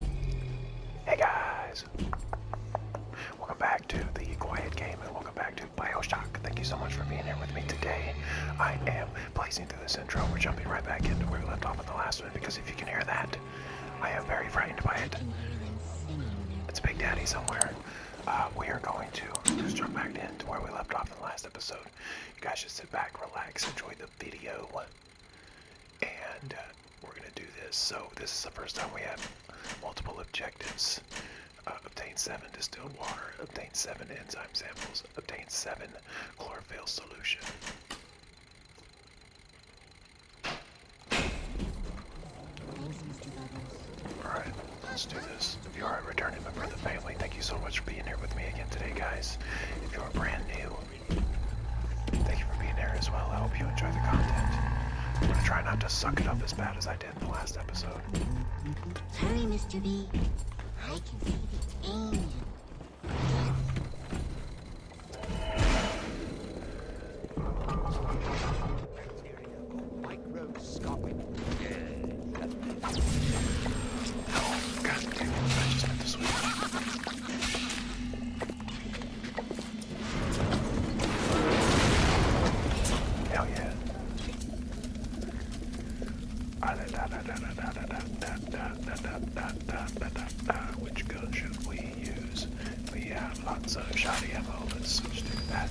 Hey guys! Welcome back to the Quiet Game and welcome back to Bioshock. Thank you so much for being here with me today. I am blazing through the intro. We're jumping right back into where we left off in the last one because if you can hear that, I am very frightened by it. It's Big Daddy somewhere. Uh, we are going to jump back into where we left off in the last episode. You guys should sit back, relax, enjoy the video and uh, we're gonna do this. So this is the first time we have multiple objectives. Uh, obtain seven distilled water, obtain seven enzyme samples, obtain seven chlorophyll solution. Alright, let's do this. If you are returning member of family, thank you so much for being here with me again today, guys. If you are brand new, Thank you for being there as well. I hope you enjoy the content. I'm gonna try not to suck it up as bad as I did in the last episode. Sorry, Mr. B. I can see the aim. Oh, God damn Hell yeah. Which gun should we use? We have lots of shiny ammo. Let's switch to that.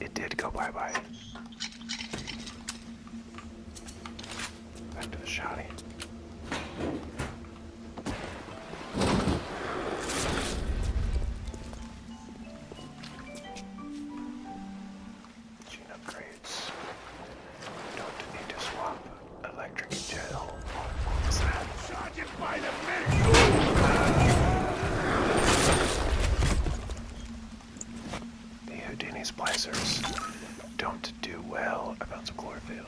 it did go bye bye. Back to the shotty. Gene upgrades. Don't need to swap electric gel. The Houdini splicers don't do well about some chlorophyll.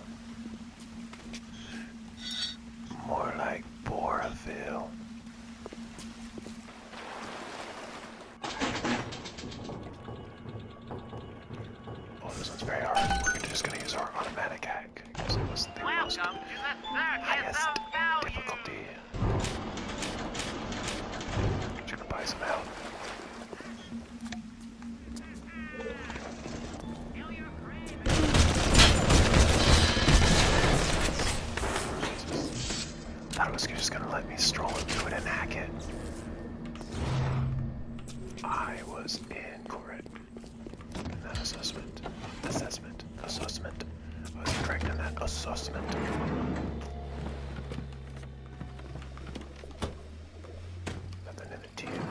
More like borophyll. Oh, this one's very hard. We're just gonna use our automatic axe back because it was the Welcome difficulty. I'm buy some health. Thought it was just gonna let me stroll into it and hack it. I was incorrect. Not assessment. Assessment. Assessment. I was correct that. Assessment. Nothing in the team.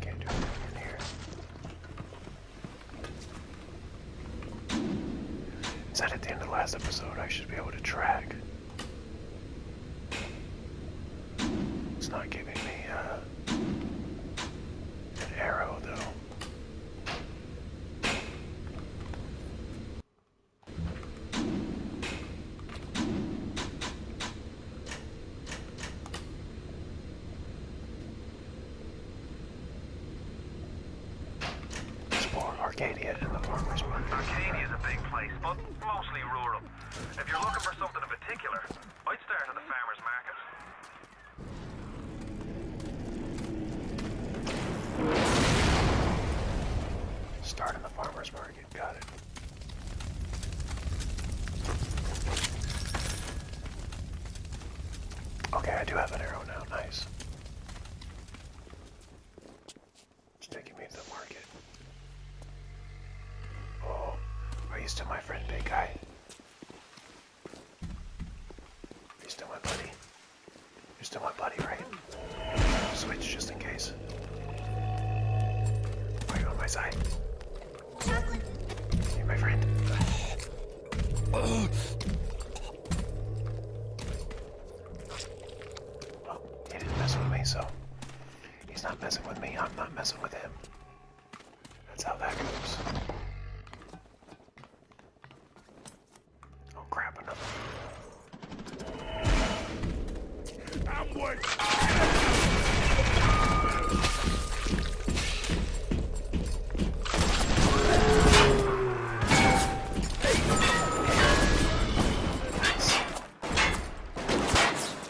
Can't do anything in here. Is that at the end of the last episode? I should be able to track. It's not giving me uh, an arrow though. Explore Arcadia and the farmers market. Arcadia is a big place, but mostly rural. If you're looking for something in particular, I'd start at the farmer's market. Start in the farmer's market, got it. Okay, I do have an arrow now, nice. It's taking me to the market. Oh, are you still my friend, big guy? You're still my buddy. You're still my buddy, right? Switch just in case. Are you on my side? Chocolate. You're my friend. oh, he didn't mess with me, so he's not messing with me. I'm not messing with him. That's how that goes. Oh crap, another I'm one. Nice. I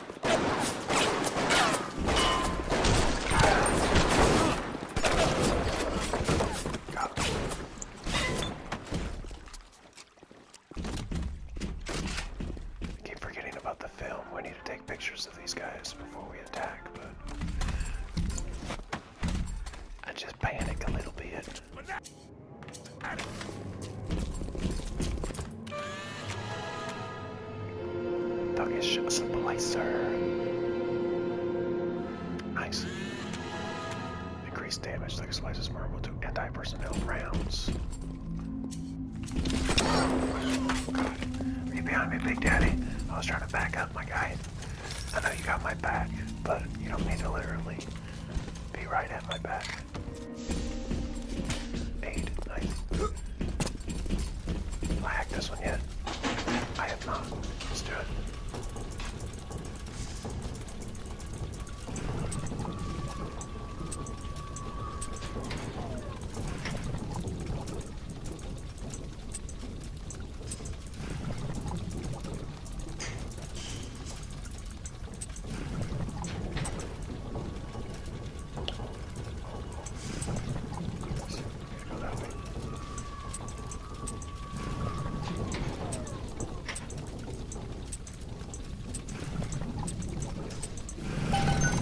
keep forgetting about the film. We need to take pictures of these guys before we attack, but I just panic a little bit. Thuggish Symbolizer. Nice. Increased damage. Thuggish Symbolizer is vulnerable to anti-personnel rounds. you behind me, Big Daddy? I was trying to back up, my guy. I know you got my back, but you don't need to literally be right at my back. Eight. Nice. Have I hacked this one yet? I have not. Let's do it.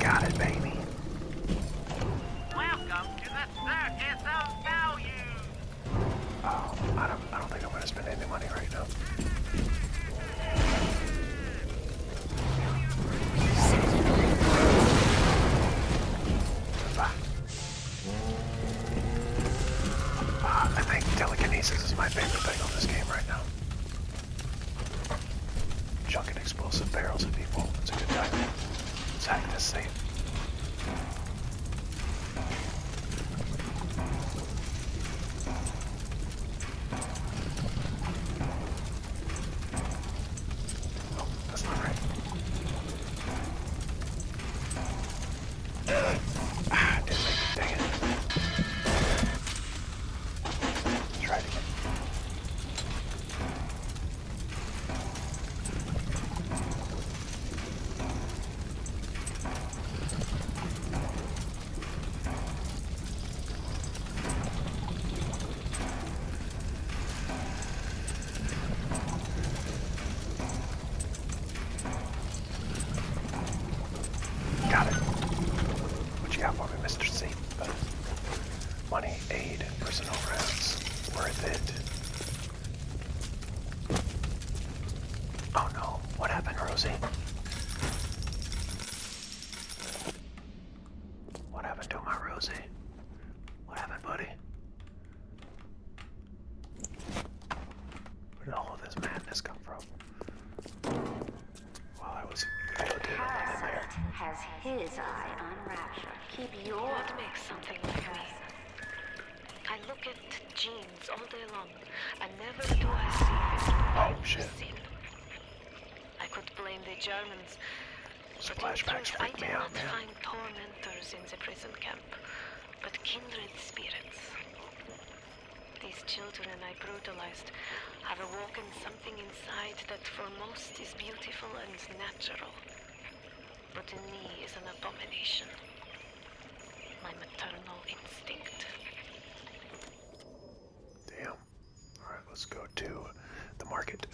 Got it, baby. Welcome to the circus of value. Oh, I don't, I don't think I'm gonna spend any money right now. I think telekinesis is my favorite thing on this game right now. Chucking explosive barrels at people. It's a good time. Let's this safe. Oh, that's not right. Ah, didn't make it. Dang it. Try it again. Got it. What you got for me, Mr. C? money, aid, personal rounds. Worth it. Oh no, what happened, Rosie? What happened to my Rosie? What happened, buddy? Where did all of this madness come from? While I was Parasite has his eye on Rapture. Keep your God makes something like me. I look at jeans all day long, and never do I see. Oh shit. I could blame the Germans. But Flashbacks truth, I me out, find tormentors in the prison camp, but kindred spirits. These children I brutalized have awakened something inside that for most is beautiful and natural, but in me is an abomination. My maternal instinct. Damn. All right, let's go to the market.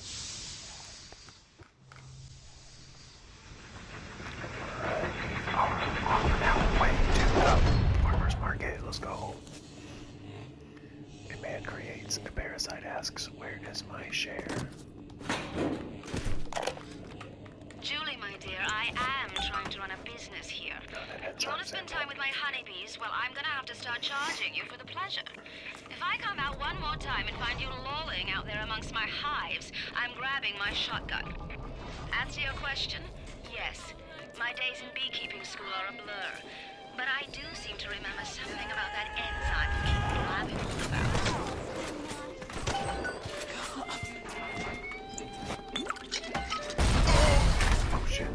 farmer's market. Let's go. A creates, a parasite asks, where is my share? Julie, my dear, I am trying to run a business here. You want to spend time with my honeybees? Well, I'm gonna have to start charging you for the pleasure. If I come out one more time and find you lolling out there amongst my hives, I'm grabbing my shotgun. Answer your question, yes, my days in beekeeping school are a blur. But I do seem to remember something about that enzyme people blabbing all about. Oh, shit.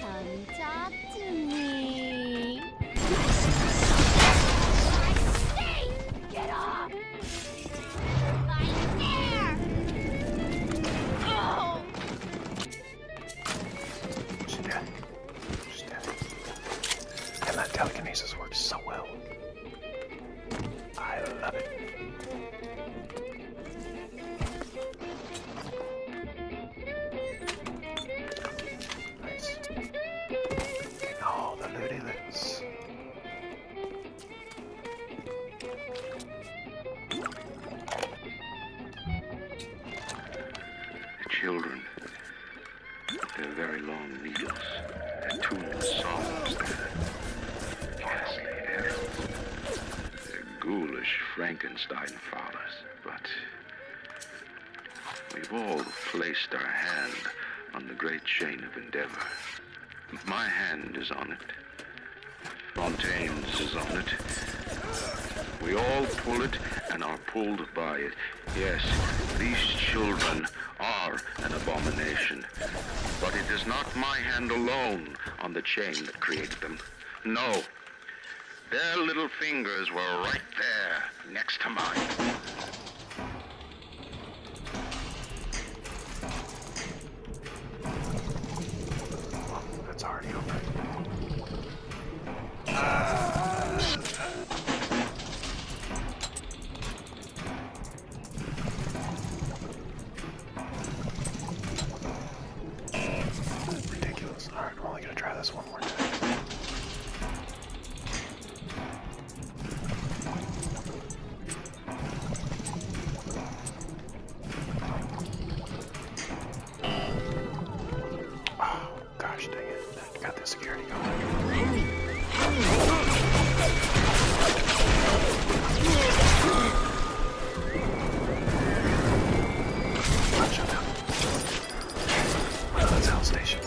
Come talk to me. Get off! I dare! Oh! She's dead. She's dead. And that telekinesis works so well. I love it. Oh, the looty loots. The children, with their very long needles, their tuneless songs, their ghastly their ghoulish Frankenstein fathers, but we've all placed our hand on the great chain of endeavor. My hand is on it. Fontaine's is on it. We all pull it and are pulled by it. Yes, these children are an abomination. But it is not my hand alone on the chain that created them. No. Their little fingers were right there, next to mine. That's already over. Ridiculous. Alright, we're only gonna try this one more time. Oh, gosh dang it. I got the security going. Shut down. That's Hell Station.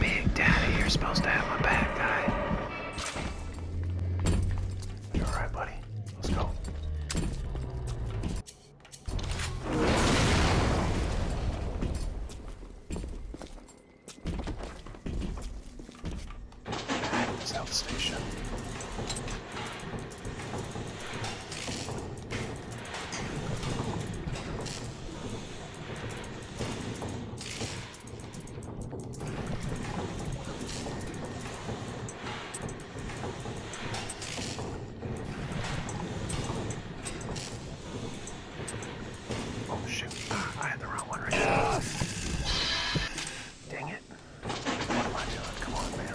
Big Daddy, you're supposed to have my back, guy. You alright, buddy? Let's go. South Station. Oh shoot, ah, I had the wrong one right there. Dang it. What am I doing? Come on, man.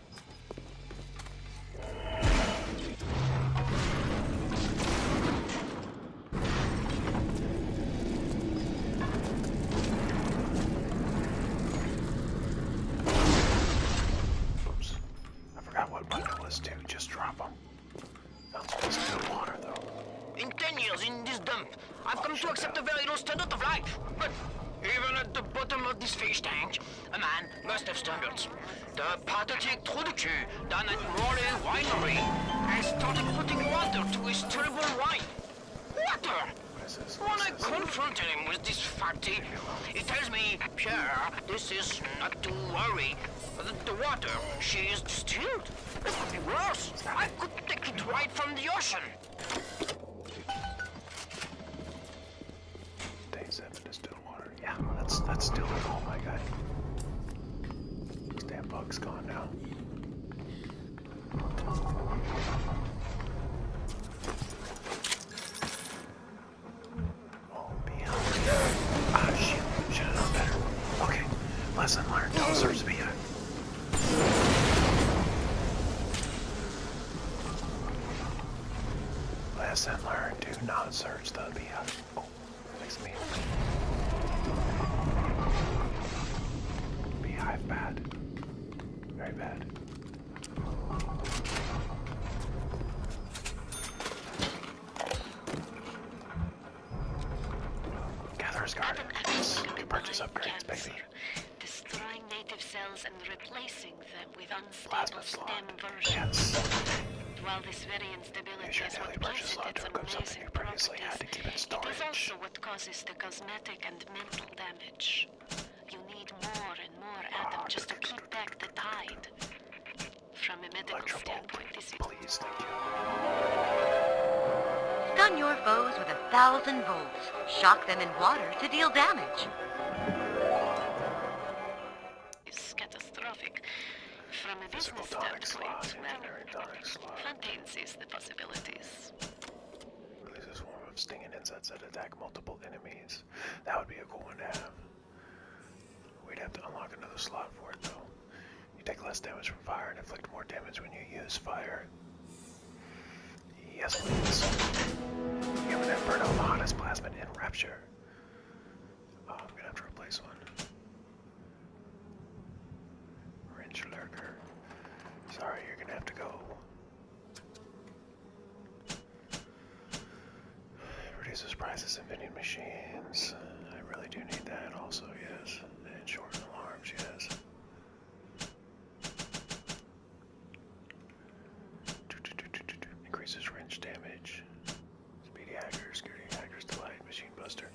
Oops. I forgot what button was to just drop them. Sounds best in the water though. In ten years in this dump, I've come to accept a the very needles to the right, but even at the bottom of this fish tank, a man must have stumbled. The the key down at Royal Winery and started putting water to his terrible wine. Water! When I confronted him with this fact, he tells me, Pierre, this is not to worry. The water, she is distilled. It would be worse. I could take it right from the ocean. Day seven is still water. Yeah, that's that's still at home, oh my guy. That bug's gone now. Oh, beyond. Ah, shoot. Should have known better. Okay, lesson learned. Don't serve to be a. Lesson learned, do not search the beehive. Oh, makes me. Beehive bad. Very bad. Gatherer's Guard. you can purchase upgrades, baby destroying native cells and replacing them with unstable stem versions. While this very instability is what gives it its amazing properties, it is also what causes the cosmetic and mental damage. You need more and more ah, atom just to keep back the tide. From a medical Electrobolt, standpoint, Please, thank you. Stun your foes with a thousand volts shock them in water to deal damage. It's catastrophic. From a business standpoint, well, Fantains sees the possibilities. Releases swarm of stinging insects that attack multiple enemies. That would be a cool one to have. We'd have to unlock another slot for it though. You take less damage from fire and inflict more damage when you use fire. Yes, please. Human Inferno, the hottest plasmid in Rapture. Oh, I'm gonna have to replace one. Wrench Lurker. Sorry, you're gonna have to go. Reduces prices in vending machines. I really do need that also, yes. And shorten alarms, yes. Increases wrench damage. Speedy hacker, security hacker's delight, machine buster.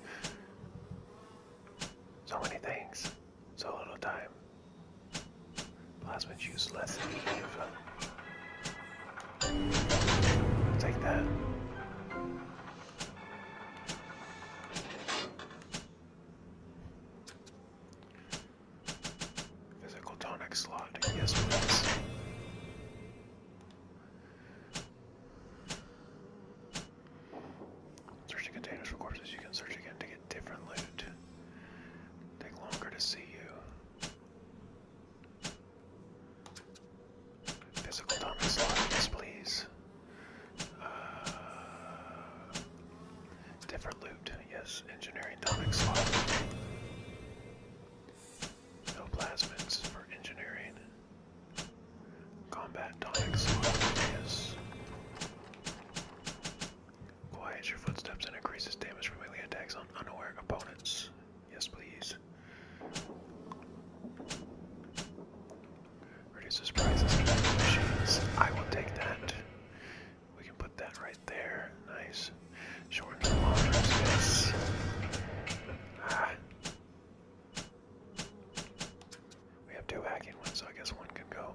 So many things. So little time. Plasma juice less Take that. Physical tonic slot. Yes, please. Searching containers for corpses. You can search again to get different loot. Take longer to see you. Physical tonic slot. Yes, please. Uh, different loot, yes, engineering tonic slot. No plasmids for engineering. Combat tonic slot, yes. Quiets your footsteps and increases damage from melee attacks on unaware opponents. Yes, please. Reduces prizes to machines. I will take that. We can put that right there. Nice. Short yes. Ah. We have two hacking ones, so I guess one can go.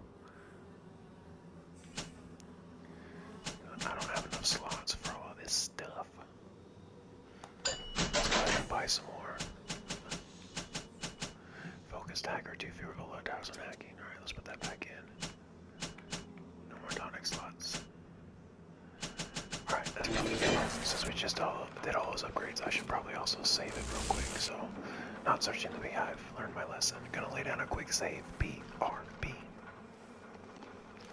I don't have enough slots for all this stuff. Let's go ahead and buy some more. Focus hacker. 2 fewer below towers on hacking. Alright, let's put that back in. No more tonic slots. Alright, Since we just all did all those upgrades, I should probably also save it real quick. So, not searching the beehive. Learned my lesson. Gonna lay down a quick save. B R B.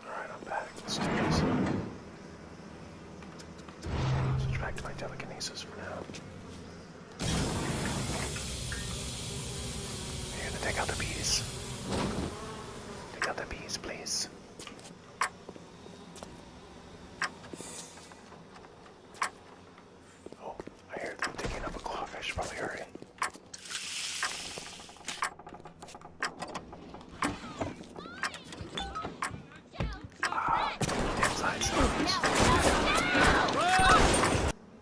Alright, I'm back. Let's do this. back to my telekinesis for now. We're gonna take out the bees. Take out the bees, please. Oh, I hear them digging up a clock. I should probably hurry. Ah, damn science. Let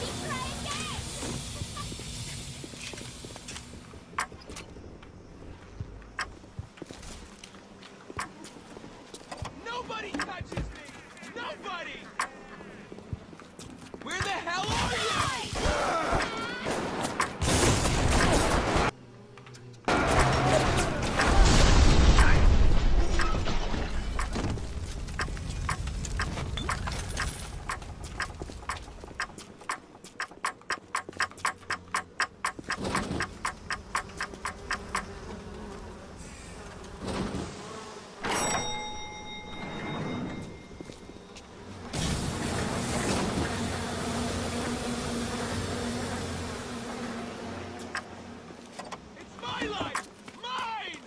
me try again! Nobody touches me! Nobody! Where the hell are you? It's my life! Mine!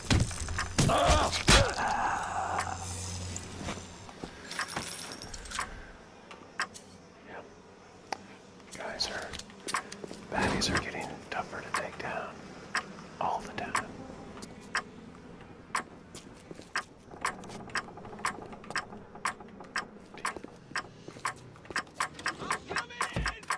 Yep. Guys are baddies are getting tougher to take down all the time. I'm coming!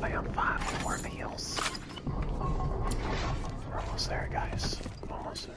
I am five more meals. We're almost there, guys. Almost there.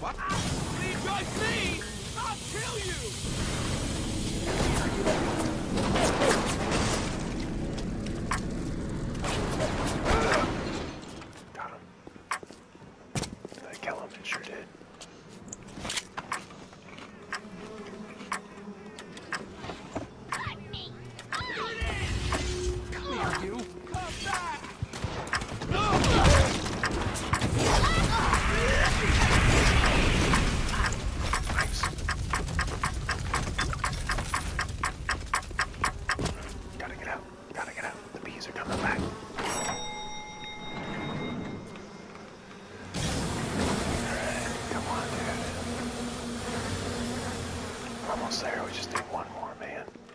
What? me! I'll kill you! Got him. I kill him? It sure did. Cut me! Cut ah! Come Come back! Gotta get out. Gotta get out. The bees are coming back. Alright, come on, dude. We're almost there. We just need one more, man.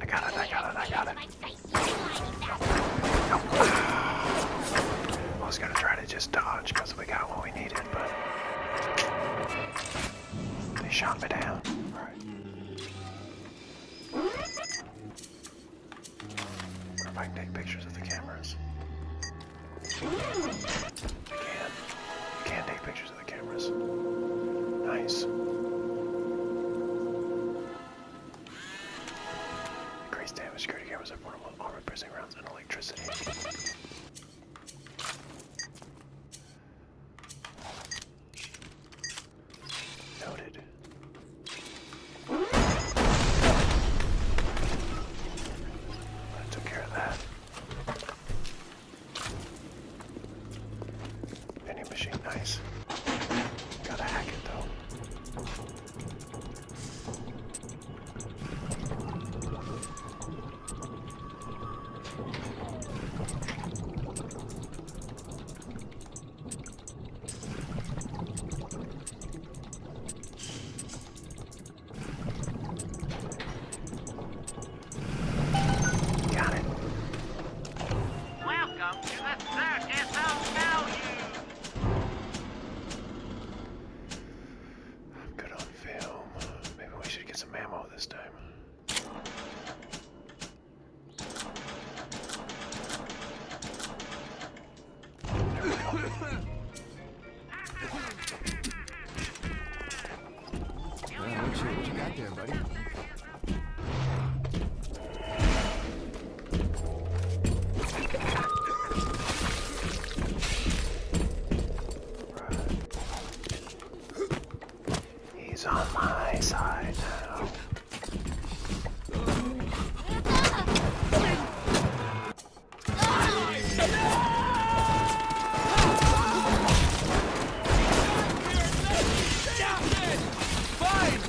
I got it, I got it, I got it. I was gonna try to just dodge we got what we needed, but they shot me down. Alright. I take pictures of the cameras. can. can take pictures of the cameras. Nice. Increased damage, security cameras have portable armor piercing rounds and electricity. Noted. I took care of that. Vending machine, nice. Gotta hack it though. Got it. Welcome to the circus of value. I'm good on film. Maybe we should get some ammo this time. There we go. well, what you got there, buddy? He's on my side now. Fine!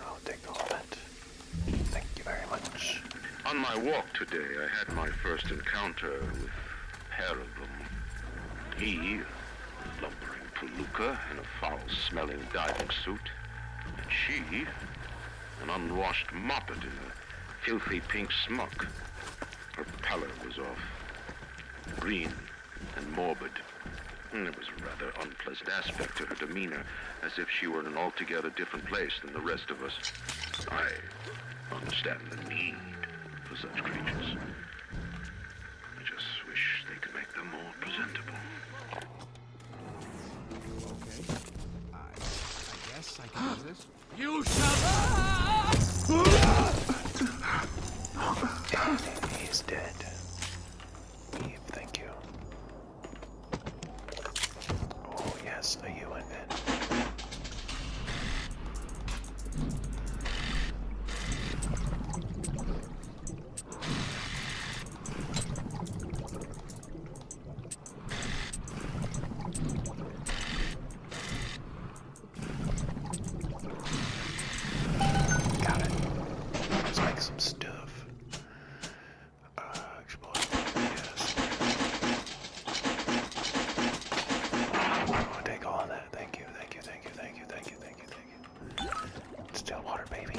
I'll take all that. Thank you very much. On my walk today, I had my first encounter with Parabum. He, lumbering palooka in a foul-smelling diving suit, and she, an unwashed moppet in a filthy pink smock. Her pallor was off, green and morbid. Mm, there was a rather unpleasant aspect to her demeanor, as if she were in an altogether different place than the rest of us. I understand the need for such creatures. I just wish they could make them more presentable. Okay. I, I guess I can do this. You shall. He's dead. Eve, thank you. Oh yes, a UN then. Got it. Let's make some stuff. Uh, explore. Yes. I'll oh, take all of that. Thank you, thank you, thank you, thank you, thank you, thank you, thank you. Still water, baby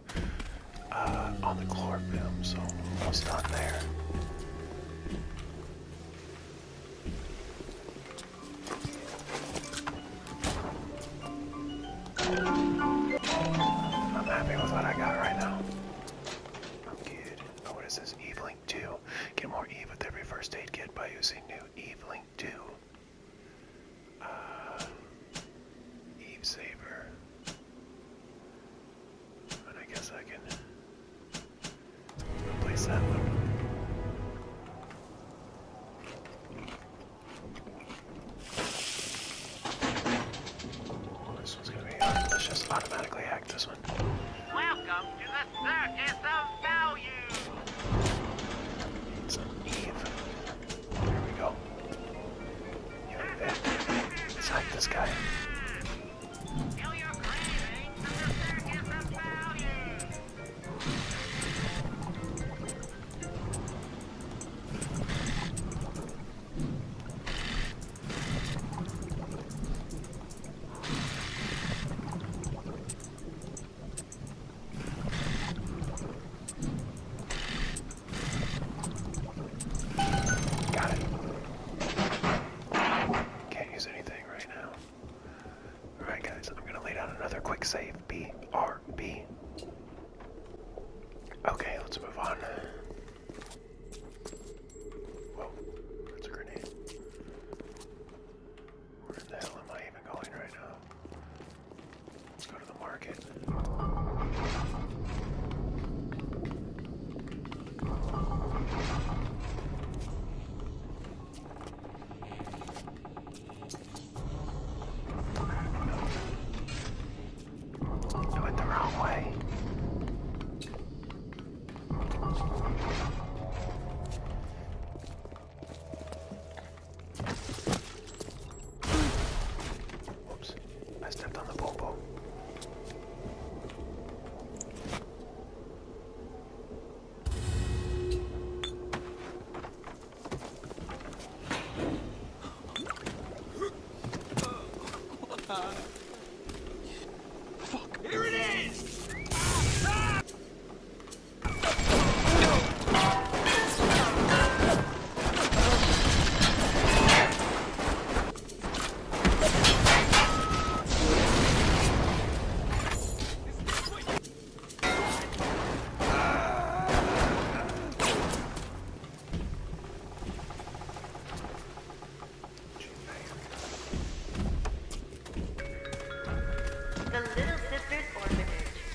Uh, on the chlorophyll, so almost done there. I'm happy with what I got right now. I'm good. Oh, what is this? EveLink Link 2. Get more Eve with every first aid kit by using new Eve 2. Uh, Eve Saber. And I guess I can replace that one. Oh, this one's gonna be. Uh, let's just automatically hack this one. Welcome to the circus of Values. Need Eve. There we go. You like that? Let's hide this guy. Got it. Can't use anything right now. Alright, guys, I'm gonna lay down another quick save. B R B. Okay, let's move on. Whoa, that's a grenade. Where the hell am I even going right now? Let's go to the market. No. Do it the wrong way. Oops, I stepped on the bobo. Fuck. Here it is! Ah! Ah! The Little Sisters Orphanage.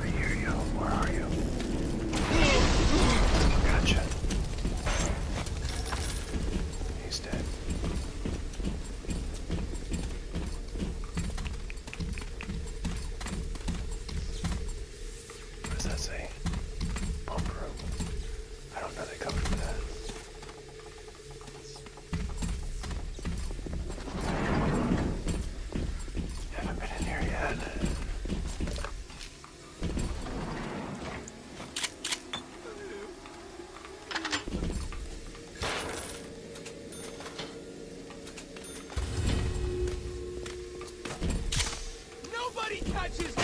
I hear you. Where are you? Gotcha. He's dead. What does that say? Pump I don't know they covered that. Haven't been in here yet. Nobody touch touches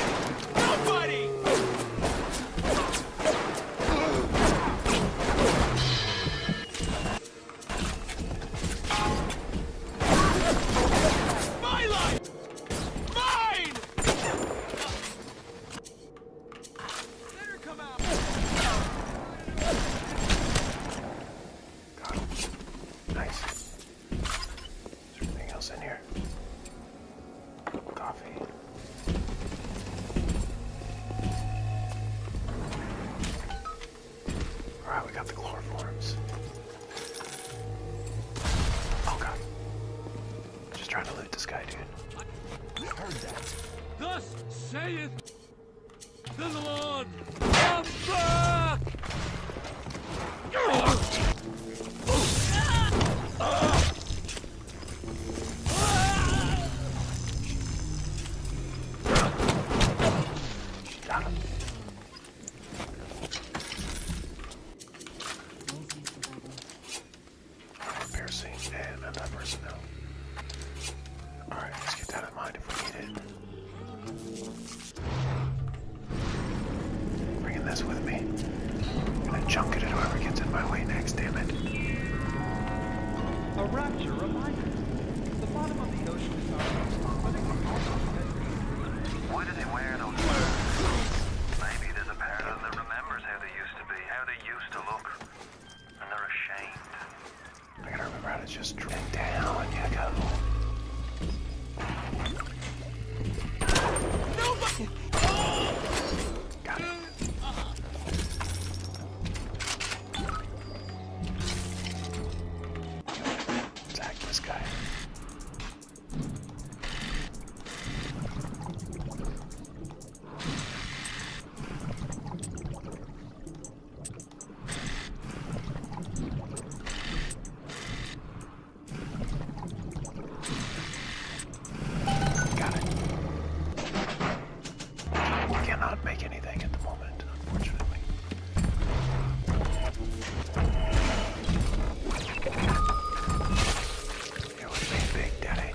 nobody! My life! Mine! Let her come out! Got him. Nice. Is there anything else in here? Coffee. Alright, we got the chloroforms. Oh god. Just trying to loot this guy, dude. I heard that. Thus saith the Lord, come back! Piercing and another personnel. Alright, let's get that in mind if we need it. Bringing this with me. I'm gonna chunk it at whoever gets in my way next, damn it. A rapture reminder. The bottom of the ocean Why do they wear those Maybe there's a part of them that remembers how they used to be, how they used to look. And they're ashamed. I gotta remember how to just down, you go. No! Got it. Attack this guy. Got it. cannot make anything at the moment, unfortunately. It would be big, Daddy.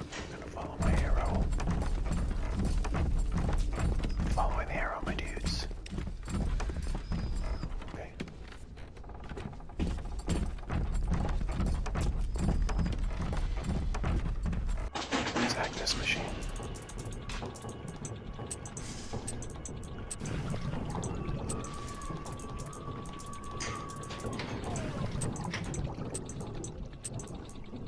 I'm gonna follow my arrow. Following the arrow, my dudes. Okay. Let's hack this machine.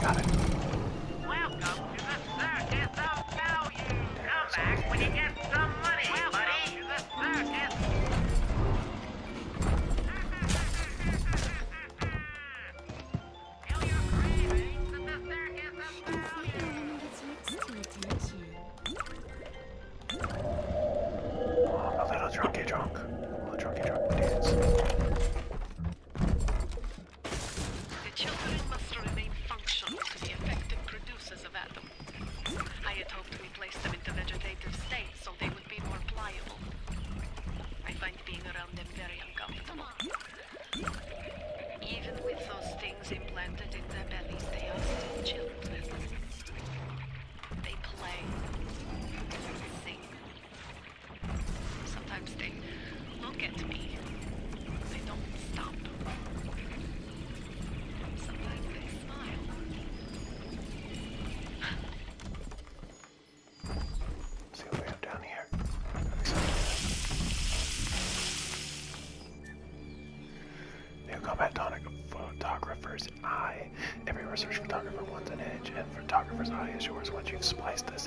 Got it. Welcome to the circus of value. There Come back okay. when you get some money, Welcome buddy. To the circus. Tell your cravings that the circus of value. A little drunky drunk. A little drunky drunk dance. The children must remain functional to be effective producers of atom. I had hoped we place them in the vegetative state so they would be more pliable. I find being around them very uncomfortable. Even with those things implanted in their bellies, they are still children. They play, Sometimes they look at me. They don't stop. Sometimes they smile. See what we have down here. New combat tonic photographer's eye. Every research photographer wants an edge, and photographer's eye is yours once you've spliced this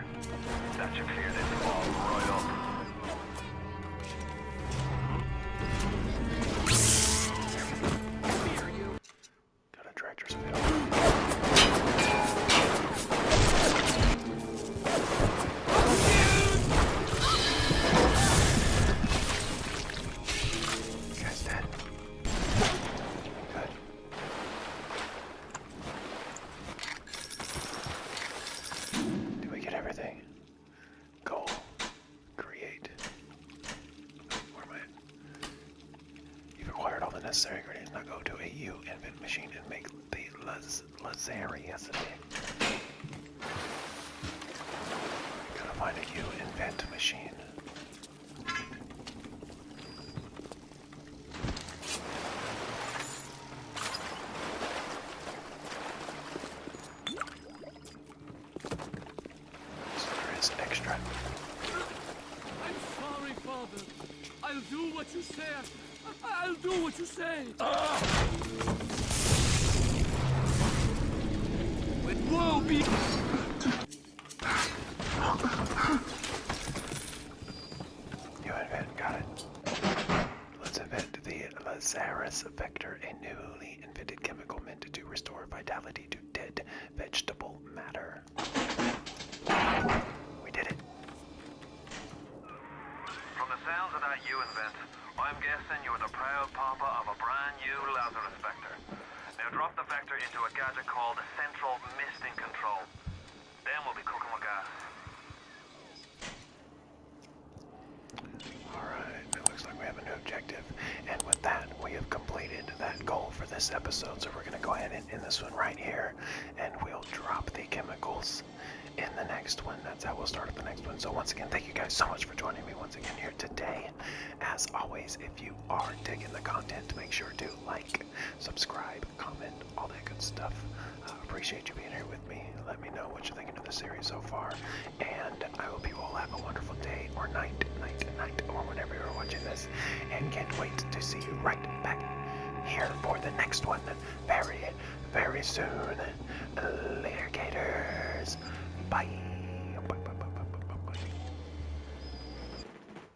there. That should clear this wall right up. Got a tractor spit Guys dead. Good. Did we get everything? Goal. Create. Where am I? You've acquired all the necessary ingredients. Now go to a U invent machine and make the laz lazarius. Gotta find a U invent machine. So there is extra. I'm sorry, Father. I'll do what you say. I'll do what you say. Ah! Whoa, be. You invent, got it. Let's invent the Lazarus vector, a newly invented chemical meant to restore vitality to dead vegetable matter. We did it. From the sounds of that you invent, I'm guessing you're the proud papa of a brand new Lazarus vector. Now drop the vector into a gadget called Central Misting Control. Alright, it looks like we have a new objective. And with that, we have completed that goal for this episode. So we're going to go ahead and end this one right here. And we'll drop the chemicals in the next one. That's how we'll start up the next one. So once again, thank you guys so much for joining me once again here today. As always, if you are digging the content, make sure to like, subscribe, comment, all that good stuff. Uh, appreciate you being here with me. Let me know what you're thinking of the series so far, and I hope you all have a wonderful day or night, night, night, or whenever you're watching this, and can't wait to see you right back here for the next one very, very soon. Later, Gators. bye.